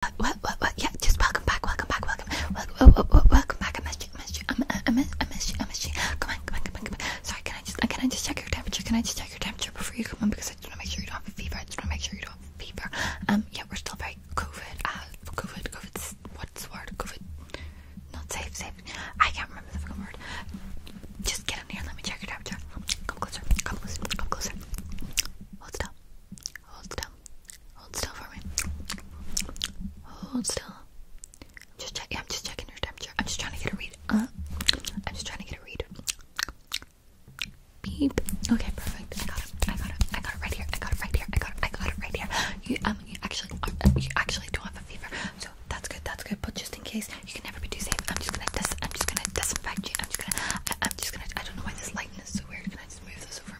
What, what, what? Yeah, just welcome back, welcome back, welcome, welcome, welcome, welcome back. I missed you, I missed you, I missed, I missed you, I missed you. Come on, come on, come on, come on. Sorry, can I just, can I just check your temperature? Can I just check your temperature before you come on? Because I just want to make sure you don't have a fever. I just want to make sure you don't have a fever. Um, yeah, we're still very COVID. Uh, COVID, COVID. What's the word? COVID. Not safe, safe. I can't remember the fucking word. Just get in here. Let me check your temperature. Come closer. Come closer. Come closer. Hold still. Hold still. Hold still for me. Hold still. I'm just checking your temperature. I'm just trying to get a read. Uh, I'm just trying to get a read. Beep. Okay, perfect. I got it. I got it. I got it right here. I got it right here. I got it. I got it right here. You um, you actually um, um, you actually do have a fever, so that's good. That's good. But just in case, you can never be too safe. I'm just gonna dis. I'm just gonna disinfect you. I'm just gonna. I, I'm just gonna. I don't know why this lightness is so weird. Can I just move this over?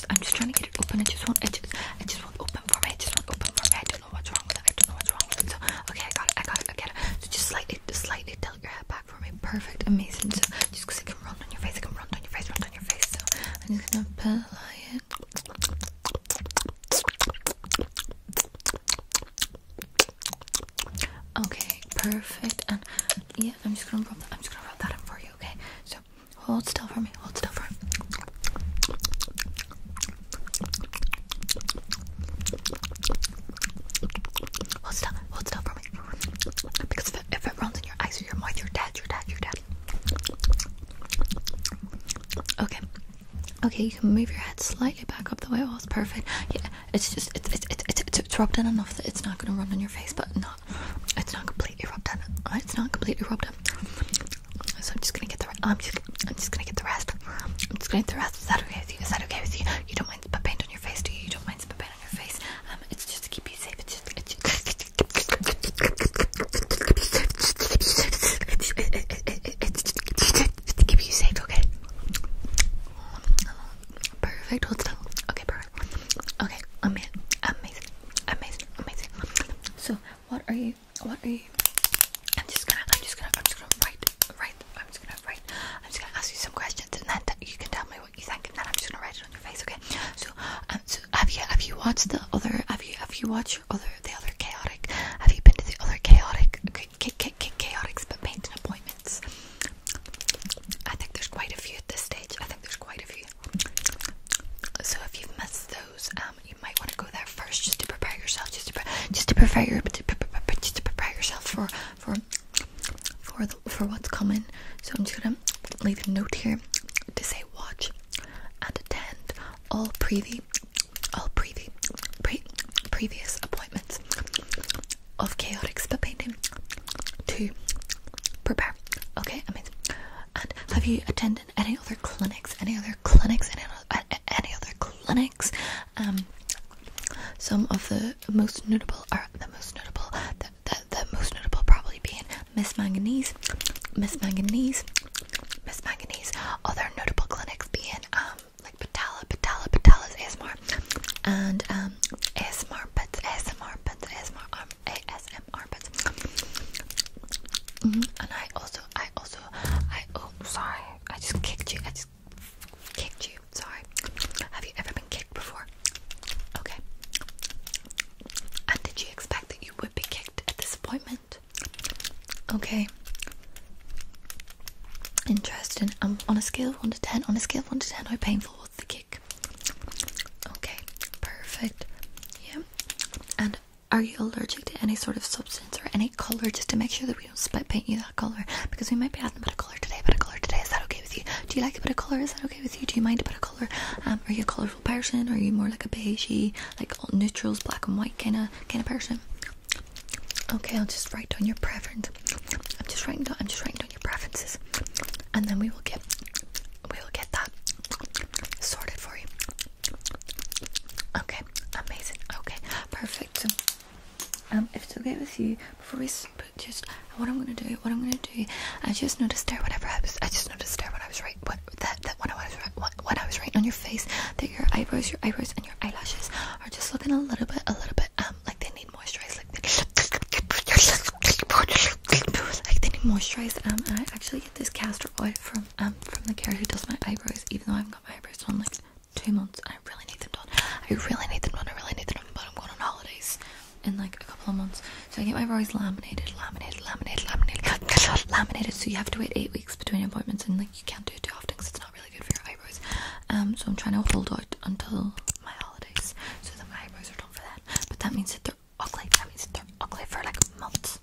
I'm just trying to get it open. I just won't. It just I just want open for me. I just won't open for me. I don't know what's wrong with it. I don't know what's wrong with it. So okay, I got it. I got it. I get it. So just slightly, just slightly tilt your head back for me. Perfect, amazing. So just because I can run on your face, I can run on your face, run on your face. So I'm just gonna apply it. Okay, perfect. And yeah, I'm just gonna roll. that. I'm just gonna roll that up for you. Okay, so. Hold still for me. Hold still for me. Hold still. Hold still for me. Because if it, if it runs in your eyes or your mouth, you're dead. You're dead. You're dead. Okay. Okay, you can move your head slightly back up the way it was. Perfect. Yeah, it's just it's it's it's it's, it's rubbed in enough that it's not gonna run on your face, but not it's not completely rubbed on. It's not completely rubbed on. So I'm just gonna get the. I'm just. I'm just gonna get the rest. I'm just gonna get the rest. Is that okay with you? Is that okay with you? You don't mind spit paint on your face, do you? You don't mind spit paint on your face. Um, it's just to keep you safe. It's just to keep you safe. Okay. Perfect. Hold still. Okay. Perfect. Okay, amazing, amazing, amazing, amazing. So, what are you? What are you? I'm just gonna, I'm just gonna, I'm just gonna write, write. I'm just gonna write. I'm just gonna ask you some questions, and then you can tell me what you think, and then I'm just gonna write it on your face. Okay? So, um, so have you, have you watched the other? Have you, have you watched other the other chaotic? Have you been to the other chaotic? Okay, chaotics, but painting appointments. I think there's quite a few at this stage. I think there's quite a few. So if you've missed those, um, you might want to go there first just to prepare yourself, just to just to prepare your just to prepare yourself for for for for what's coming. So I'm just gonna leave a note here to say watch and attend all preview all preview pre previous appointments of chaotic spit painting to prepare. Okay, amazing have you attended any other clinics? Any other clinics? Any other, clinics? Um, some of the most notable are the most notable. The, the, most notable probably being Miss Manganese, Miss Manganese, Miss Manganese. Other notable clinics being um, like Patella, Patella, Patella's ASMR, and um ASMR Pets, ASMR Pets, ASMR um, ASMR armpits. Mm-hmm. And I also, I also, I oh sorry, I just kicked you. I just kicked you. Sorry. Have you ever been kicked before? Okay. And did you expect that you would be kicked at this appointment? Okay. Interesting. Um, on a scale of one to ten, on a scale of one to ten, how painful was the kick? Okay, perfect. Yeah. And are you allergic to any sort of substance or any color? Just to make sure that we don't split paint you that color because we might be adding a bit of color today. But a color today is that okay with you? Do you like a bit of color? Is that okay with you? Do you mind a bit of color? Um, are you a colorful person? Are you more like a beigey, like neutrals, black and white kind of kind of person? Okay, I'll just write down your preference. I'm just writing down. I'm just writing down your preferences, and then we will get we will get that sorted for you. Okay, amazing. Okay, perfect. So, um, if it's okay with you, before we just what I'm gonna do, what I'm gonna do, I just noticed there whenever I was, I just noticed there when I was right, what that that when I was right, when I was right on your face, that your eyebrows, your eyebrows, and your eyelashes are just looking a little bit, a little bit, um, like they need moisturized, like they, need moisturized. Um, and I actually get this castor oil from um from the guy who does my eyebrows, even though I haven't got my eyebrows done like two months. I really need them done. I really need them done. I really need them done, but I'm going on holidays in like a couple of months. So I get my eyebrows laminated, laminated, laminated, laminated, laminated. So you have to wait eight weeks between appointments, and like you can't do it too often because it's not really good for your eyebrows. Um, so I'm trying to hold out until my holidays so that my eyebrows are done for that. But that means that they're ugly. That means they're ugly for like months.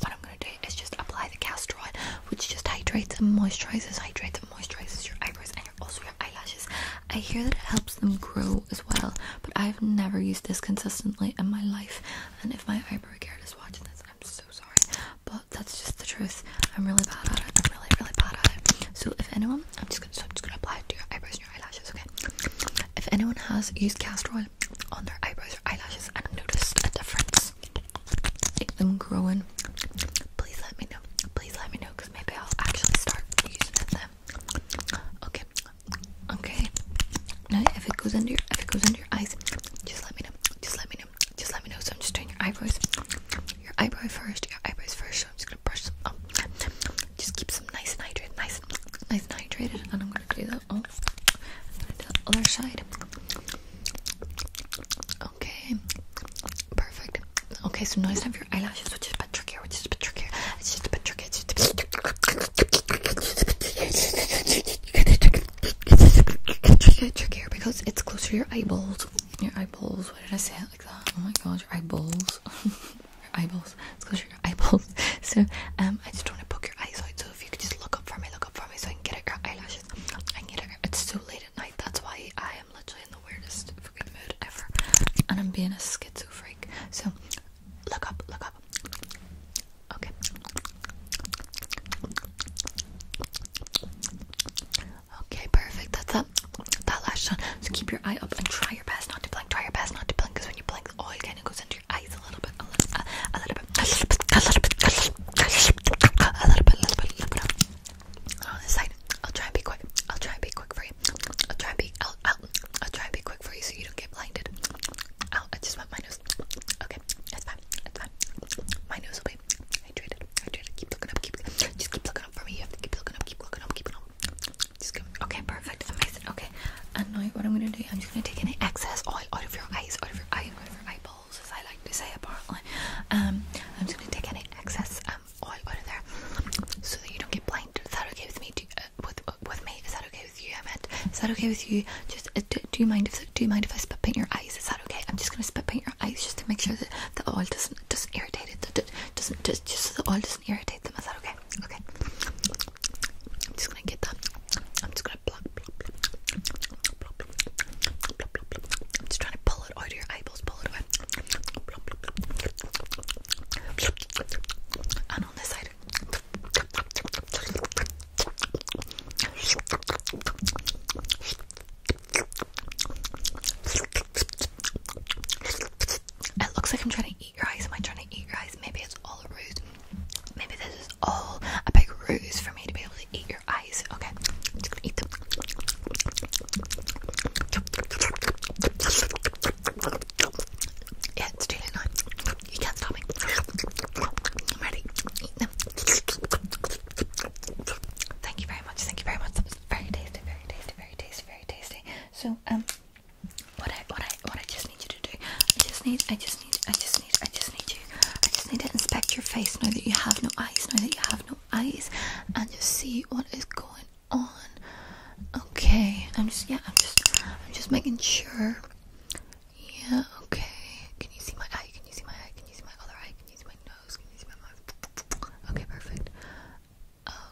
What I'm gonna do is just apply the castor oil, which just hydrates and moisturizes, hydrates and moisturizes your eyebrows and also your eyelashes. I hear that it helps them grow as well, but I've never used this consistently in my life. And if my eyebrow care is watching this, I'm so sorry, but that's just the truth. I'm really bad at it. I'm really, really bad at it. So if anyone, I'm just gonna, I'm just gonna apply it to your eyebrows your eyelashes, okay? If anyone has used castor oil on their eyebrows or eyelashes and noticed a difference, make them growing, please let me know. Please let me know because maybe I'll actually start using them. Okay, okay. Now if it goes under your if it goes under your eyes, just let me know. Just let me know. Just let me know. So I'm just doing your eyebrows. Your eyebrows first, your eyebrows first. So I'm just gonna brush them up. Just keep some nice and hydrated, nice, nice and hydrated. And I'm gonna do that. Oh, I'm gonna do the other side. Okay, perfect. Okay, so now it's time for your eyelashes, which is a bit trickier. Which is a bit trickier. It's just a bit trickier. It's just a bit trickier, trickier because it's closer to your eyeballs. Your eyeballs. Why did I say it like that? Oh my god, your eyeballs. your eyeballs. Let's go to your eyeballs. So um, I just want to poke your eyes out. So if you could just look up for me, look up for me, so I can get at your eyelashes. I can get at. it's so late at night. That's why I am literally in the weirdest freaking mood ever, and I'm being a schizo freak. So look up, look up. Okay. Okay, perfect. That's up. That lash done. So keep your eye up and try your best not to blink. Try your best not to blink because when you blink, the oil kind of goes in a little bit, a little, bit, a little bit, a little bit, a little bit, a little bit, On this side, I'll try and be quick. I'll try and be quick for you. I'll try and be, I'll, I'll, I'll try and be quick for you so you don't get blinded. I just wet my nose. Okay, that's fine. That's fine. My nose will be hydrated. Hydrated. Keep looking up. keep looking up for me. You have to keep looking up. Keep looking up. Keep looking up. Just give okay, perfect, amazing. Okay, and now what I'm gonna do, I'm just gonna take any excess oil out of your eyes, out of your eye, out of your eyeballs, as I like to say apparently. Um, I'm just gonna take any excess um oil out of there, so that you don't get blind. Is that okay with me? Uh, with uh, with me? Is that okay with you? I meant, is that okay with you? Just uh, do, do you mind if do you mind if I spit paint your eyes? Is that okay? I'm just gonna spit paint your eyes just to make sure that the oil doesn't doesn't irritate it, that it doesn't just so the oil doesn't doesn't irritate them. Is that okay? Okay. I'm just gonna get that. I'm just gonna pluck, pluck, pluck, pluck, I'm just trying to pull it out of your eyeballs, pull it away. And on this side. It looks like I'm trying to eat your eyes. Am I trying to eat your eyes? Maybe it's all rude. Maybe this is all a big ruse for me to be able to eat your eyes. Okay, I'm just gonna eat them. Yeah, it's too late You can't stop me. I'm ready. Eat them. Thank you very much. Thank you very much. very tasty, very tasty, very tasty, very tasty. So, um. What I what I what I just need you to do. I just need I just need I just need I just need you. I just need to inspect your face Know that you have no eyes, Know that you have no eyes and just see what is going on. Okay. I'm just yeah, I'm just I'm just making sure. Yeah, okay. Can you see my eye? Can you see my eye? Can you see my other eye? Can you see my nose? Can you see my mouth? Okay, perfect.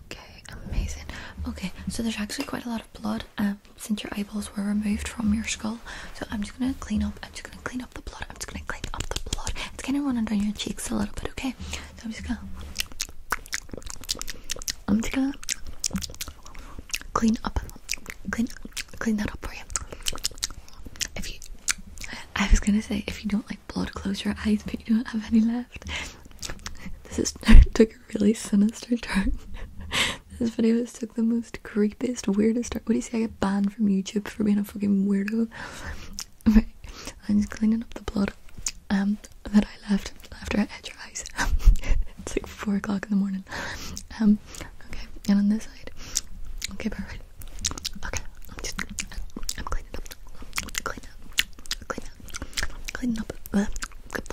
Okay, amazing. Okay, so there's actually quite a lot of blood. Um since your eyeballs were removed from your skull. So I'm just gonna clean up. I'm just gonna clean up the blood. I'm just gonna clean up the blood. It's kind of running down your cheeks a little bit, okay? I'm just gonna. I'm just gonna clean up, clean, clean that up for you. If you, I was gonna say, if you don't like blood, close your eyes, but you don't have any left. This is really sinister turn. this video has took the most creepiest, weirdest turn. What do you say? I get banned from YouTube for being a fucking weirdo. right, I'm just cleaning up the blood um, that I left after I had your eyes. it's like four o'clock in the morning. Um, okay, and on this side. Okay, perfect. Okay, I'm just cleaning up, clean up, cleaning up. Cleaning up.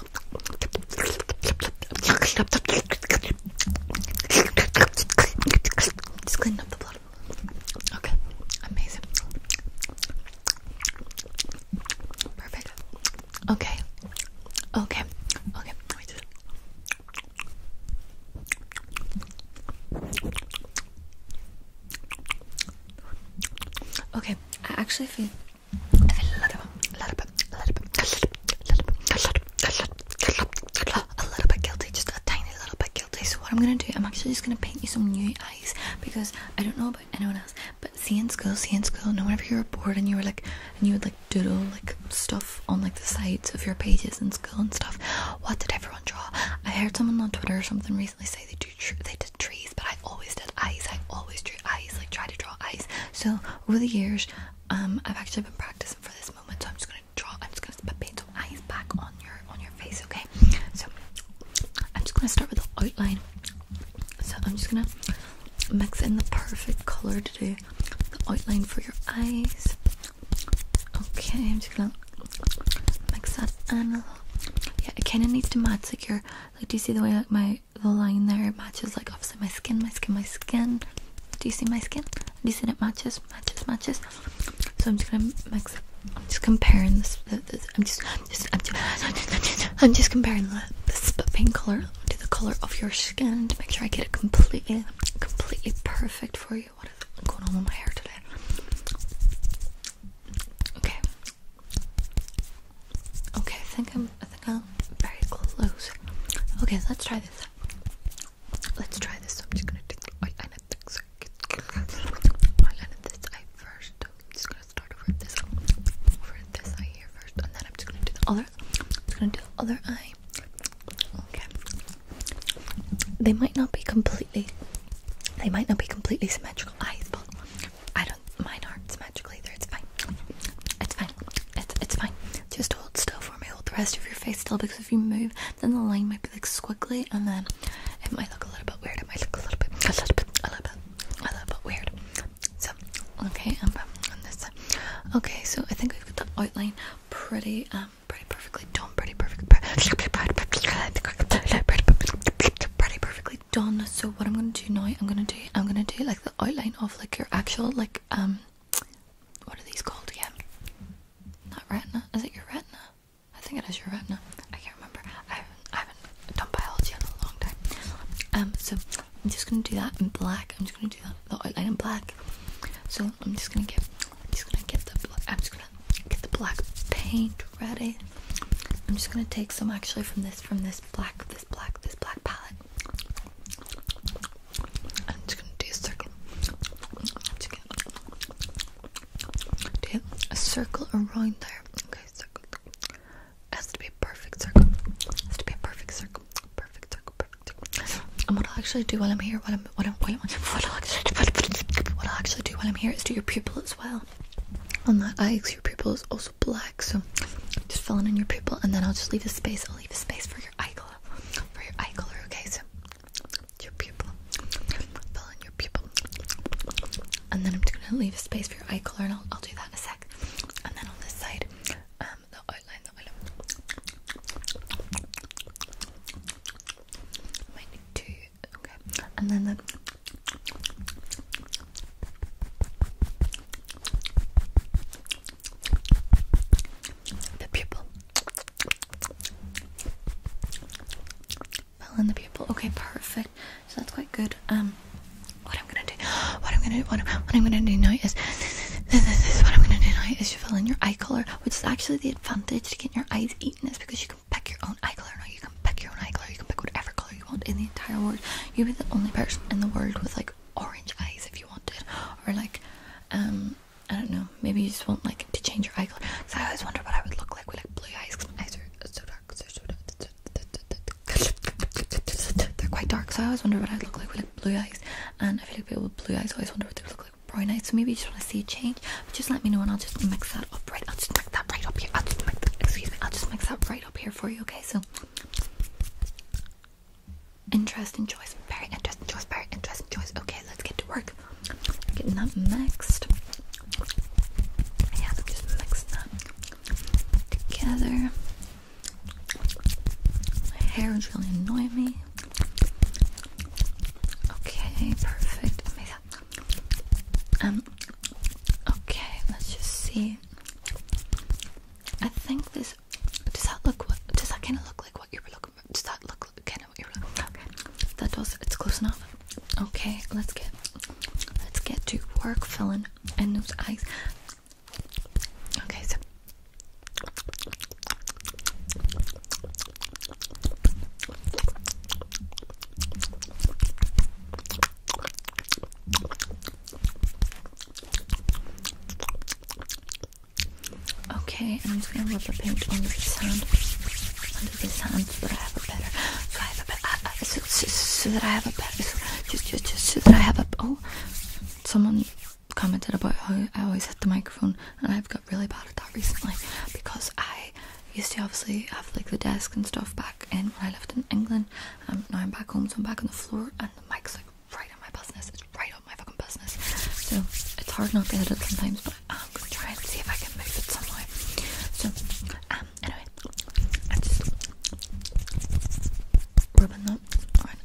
Just cleaning up the blood. Okay, amazing. Perfect. Okay. Okay. Okay. Okay, I actually feel I feel a little, a little bit, a little bit, a little bit, a little bit, a little bit, a little bit, a little bit guilty, just a tiny little bit guilty. So what I'm gonna do, I'm actually just gonna paint you some new eyes because I don't know about anyone else, but see in school, see school, no whenever you were bored and you were like, and you would like doodle like stuff on like the sides of your pages in school and stuff. What did everyone draw? I heard someone on Twitter or something recently say they do, they did trees, but I always did eyes. I always drew eyes, like try to draw eyes. So over the years. Um, I've actually been practicing for this moment, so I'm just gonna draw. I'm just gonna paint some eyes back on your on your face, okay? So I'm just gonna start with the outline. So I'm just gonna mix in the perfect color to do the outline for your eyes. Okay, I'm just gonna mix that in. Yeah, it kind of needs to match like your like. Do you see the way like my the line there matches like obviously my skin, my skin, my skin. Do you see my skin? Do you see it matches, matches, matches? So I'm just gonna mix. I'm just comparing this. I'm just, just, I'm just, I'm just comparing the, the pink color to the color of your skin to make sure I get it completely, completely perfect for you. What is going on with my hair today? Okay. Okay, I think I'm very close. Okay, let's try this. Let's try this. I'm just gonna take I I know this eye first. I'm just gonna start over this over this eye here first and then I'm just gonna do the other I'm just gonna do the other eye. Okay. They might not be completely they might not be completely symmetrical eyes, but I don't mine aren't symmetrical either, it's fine. It's fine. It's, it's fine. Just hold still for me. Hold the rest of your face still because if you move, then the line might be like squiggly and then it might look a little bit weird. It might look a little bit, a little bit, a little bit, a little bit weird. So, okay, I'm on this side. Okay, so I think we've got the outline pretty, um, pretty perfectly done. Pretty perfect. Pretty perfectly done. So what I'm gonna do now, I'm gonna do, I'm gonna do like the outline of like your actual like um what are these called again? Not retina. Is it your retina? I think it is your retina. I can't remember. I haven't I haven't done biology in a long time. Um so I'm just gonna do that in black. I'm just gonna do that the outline in black. So I'm just gonna get I'm just gonna get the I'm just gonna get the black paint ready. I'm just gonna take some actually from this from this black black, this black palette. I'm just gonna do a circle. do a circle around there. Okay, circle. It has to be a perfect circle. It has to be a perfect circle. Perfect circle. Perfect And what I'll actually do while I'm here, what I'm, what I'm, what, I'm, what, I'll, actually, do while I'm here is do your pupil as well. On that eye, your pupil is also black, so just fill in your pupil, and then I'll just leave a space. I'll leave a space for your eye color, for your eye color. Okay, so your pupil, fill in your pupil, and then I'm just gonna leave a space for your eye color, and I'll, I'll do that in a sec. And then on this side, um, the outline, the outline. Might need two. Okay, and then the. The pupil. Fill in the pupil. Okay, perfect. So that's quite good. Um, what I'm gonna do, what I'm gonna do, what I'm, what I'm gonna do now is, this, this, this, what I'm gonna do now is you fill in your eye color, which is actually the advantage to getting your eyes eaten is because you can pick your own eye color now. You can pick your own eye color. You can pick whatever color you want in the entire world. You'll be the only person in the world with like orange eyes if you wanted, or like, um, I don't know, maybe you just want like to change your eye color. Because I always wonder what I would look like with like blue eyes. Cause my eyes are so dark, they're so dark. They're quite dark, so I always wonder what I'd look like with like blue eyes. And I feel like people with blue eyes always wonder what they look like with brown eyes. So maybe you just want to see a change. But just let me know, and I'll just mix that up right. I'll just mix that right up here. I'll just mix that, excuse me. I'll just mix that right up here for you. Okay, so. Interesting choice. Very interesting choice. Very interesting choice. Okay, let's get to work. Getting that mixed. Yeah, just mixing that together. My hair is really annoying me. Okay, perfect. Um. Okay, let's just see. I think this this. Does that look? What, does that kind of look like what you were looking for? Does that look kind of what you were looking for? Okay, that does. It's close enough. Okay, let's get let's get to work filling in those eyes. Okay, so. Okay, I'm just gonna rub the paint under this hand, under this hand, so that I have a better, so I have a better, uh, uh, so, that I have a better, just, just, just, so that I have a. Oh, someone commented about how I always hit the microphone, and I've got really bad at that recently because I used to obviously have like the desk and stuff back in when I lived in England. and um, now I'm back home, so I'm back on the floor, and the mic's like right on my business. It's right on my fucking business. So it's hard not to hit it sometimes, but I'm gonna try and see if I can move it somewhere. So um anyway, I'm just rubbing that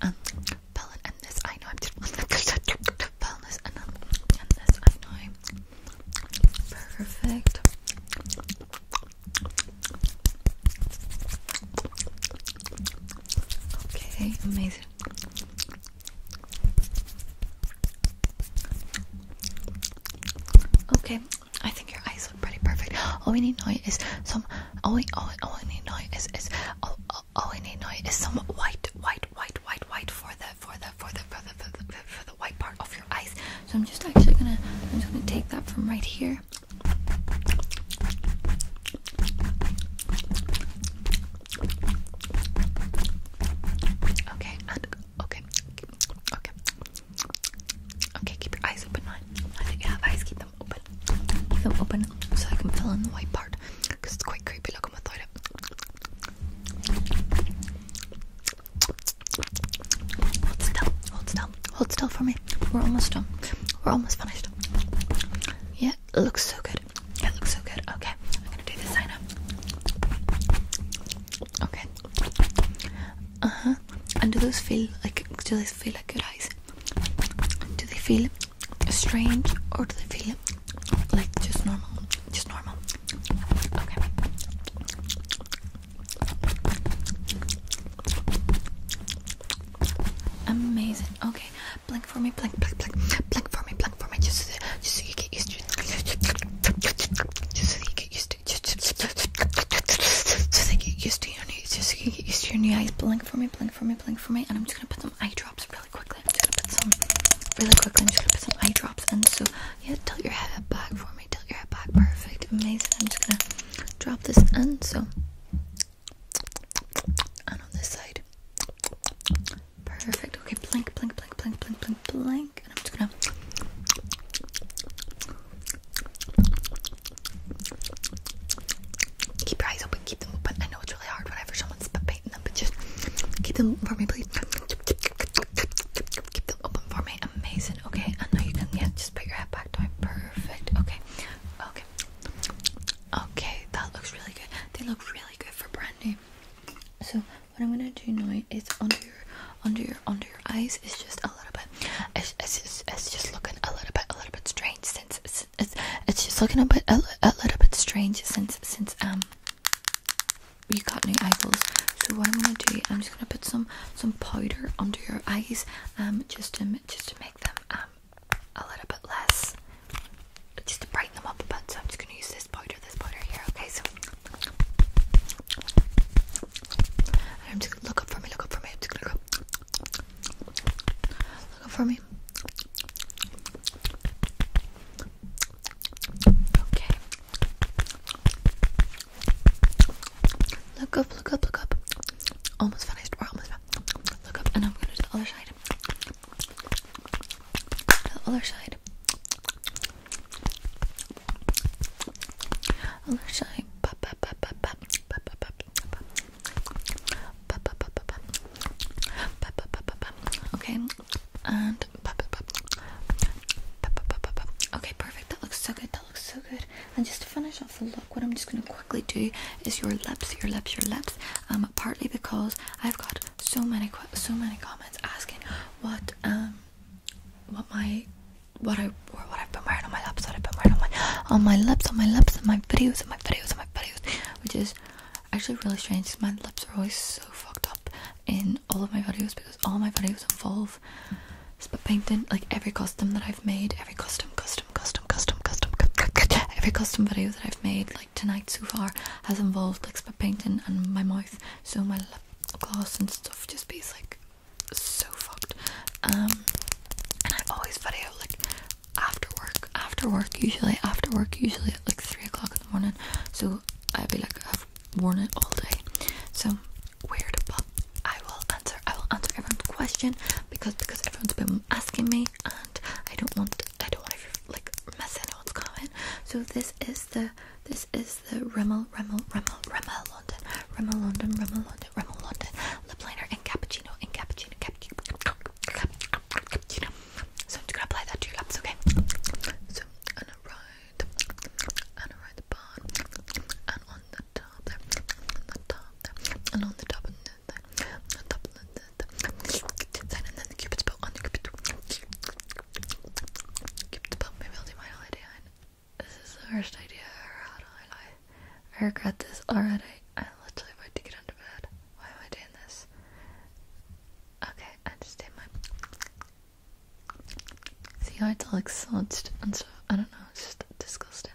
um, around and this I know I'm just this um, and this I know. Perfect. Okay, amazing. Okay, I think your eyes look pretty perfect. All we need now is some. All we, all, all we need now is is all, all, we need now is some white, white, white, white, white for the for the for the for the for the, for the white part of your eyes. So I'm just actually gonna I'm just gonna take that from right here. Okay, and okay, okay, okay. Keep your eyes open, mine. eyes. Keep them open. Keep them open so I can fill in the white part because it's quite creepy. looking I'm it Hold still. Hold still. Hold still for me. We're almost done. We're almost finished. Yeah, it looks so good. It looks so good. Okay, I'm gonna do this sign up. Okay. Uh huh. And do those feel like? Do those feel like good eyes? Do they feel strange or do they feel like just normal? Just normal. Okay. Amazing. Okay blink for me, blink, blink, blink, blink for me, blink for me, just so, you get used to it. Just so you get used to Just, so you get used to your new, just so you get used to your new eyes. Blink for me, blink for me, blink for me, and I'm just gonna put some eye drops really quickly. I'm just gonna put some really quickly. I'm just gonna put some eye drops, in. so yeah, tilt your head back for me. Tilt your head back, perfect, amazing. I'm just gonna drop this in. So and on this side. Perfect. Okay, blink, blink, blink, blink, blink, blink, blink. And I'm just gonna. Keep your eyes open, keep them open. I know it's really hard whenever someone's painting them, but just keep them for me, please. Keep them open for me. Amazing. Okay, I know you can yeah, just put your head back down. Perfect. Okay. Okay. Okay, that looks really good. They look really good for brand new. So what I'm gonna do now is under your, under your, under your eyes is just a little bit. It's, just, it's just looking a little bit, a little bit strange since it's, it's, it's just looking a bit, a, little bit strange since, since um, you got new eyeballs. So what I'm gonna do, I'm just gonna put some, some powder under your eyes, um, just to, just to make them um a little bit less just to brighten them up a bit. So I'm just going to use this powder, this powder here. Okay, so I'm just look up for me, look up for me. I'm just gonna go look up for me. Okay. Look up, look up, look up almost finished. We're almost finished. Look up, and I'm gonna do the other side. The other side. Other side. Okay, and Okay, perfect. That looks so good. That looks so good. And just to finish look, what I'm just going to quickly do is your lips, your lips, your lips. Um, partly because I've got so many, so many comments asking what um, what my, what I, or what i put been wearing on my lips, what I've been wearing on my, on my lips, on my lips, on my videos, on my videos, on my videos, which is actually really strange. Cause my lips are always so fucked up in all of my videos because all my videos involve Like every custom that I've made, every custom, custom custom, custom, custom, Every custom video that I've made, like tonight so far, has involved like spit painting and my mouth. So my lip gloss and stuff just be like so fucked. Um, and I always video like after work, after work usually, after work usually at like three o'clock in the morning. So I'd be like I've worn it all day. So weird, but I will answer. I will answer everyone's question because because everyone's been asking me okay? And I don't want I don't want to like mess anyone's comment. So this is the this is the Rimmel Rimmel Rimmel Rimmel London Rimmel London Rimmel London Rimmel London lip liner and cappuccino and cappuccino cappuccino. cappuccino. So I'm just gonna apply that to your lips, okay? So and around and around the bottom and on the top there, on the top there, and on the top and this is the worst idea I ever had I regret this already. I literally want to get under bed. Why am I doing this? Okay, I just did my. See how it's all like sludged and stuff. I don't know. It's just disgusting.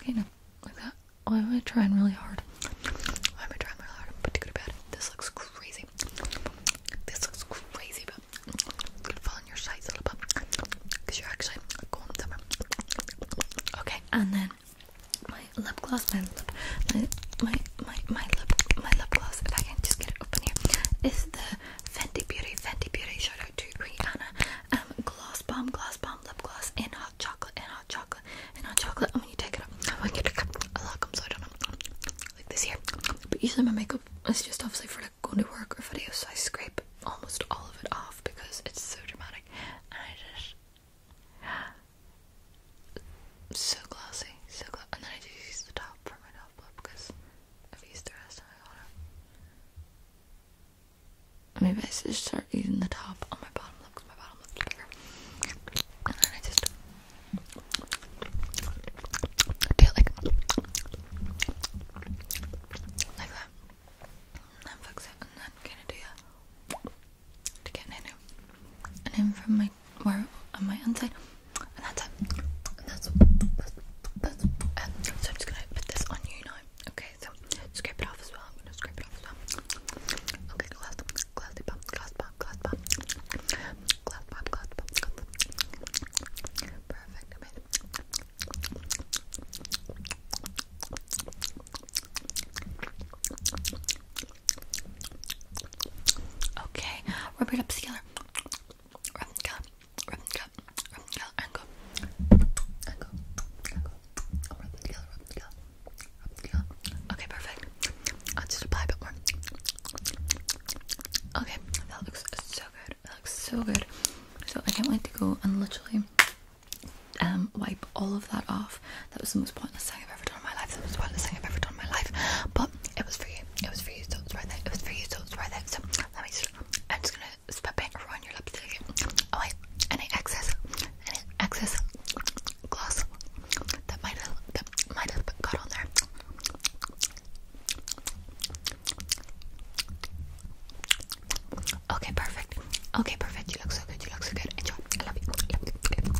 Okay, like that. Oh, am gonna really hard. I'm gonna try really hard, but to go to bed. This looks crazy. This looks crazy, but it's your sides a little bit because you're actually going somewhere. Okay, and then my lip gloss, my lip, my, my, my, lip, my lip gloss, if I can just get it open here, is the Fenty Beauty, Fenty Beauty, Shadow out to Rihanna, um, gloss bomb, gloss bomb, lip gloss, and hot chocolate, and hot chocolate, and hot chocolate, and when you take it off, I get it a lot comes out on it, like this here, but usually my makeup is just obviously for like going to work or videos, so I scrape almost all of it off because it's so dramatic, and I just so glossy, so glossy. And then I do use the top for my top lip because I've used the rest of my bottom. Maybe I should start using the top on my bottom lip because my bottom lip's bigger. And then I just do it like, like that. And then fix it and then kind of do that to get in and in from my where on my inside, and that's it. And that's that's, that's um, so I'm just gonna put this on you now. Okay, so scrape it off as well. I'm gonna scrape it off as well. Okay, glass, glass pop, glass pop, glass pop, glass pop, glass pop. Perfect. I made it. Perfect. Okay, rub it up together. Rub it up, rub it up, rub it up, and go. And go, and go. I'll rub it together, rub it together, rub it together. Okay, perfect. I'll just apply a bit more. Okay, that looks so good. That looks so good. So I can't wait to go and literally um wipe all of that off that was the most pointless thing I've ever done in my life. That was the pointless thing I've ever done in my life. But it was for you. It was for you, so it's right there. It was for you, so it's right there. So let me just, I'm just gonna spit paint around your lips to get away any excess, any excess gloss that might have, that might have got on there. Okay, perfect. Okay, perfect. You look so good. You look so good. Enjoy. I love you. I love you.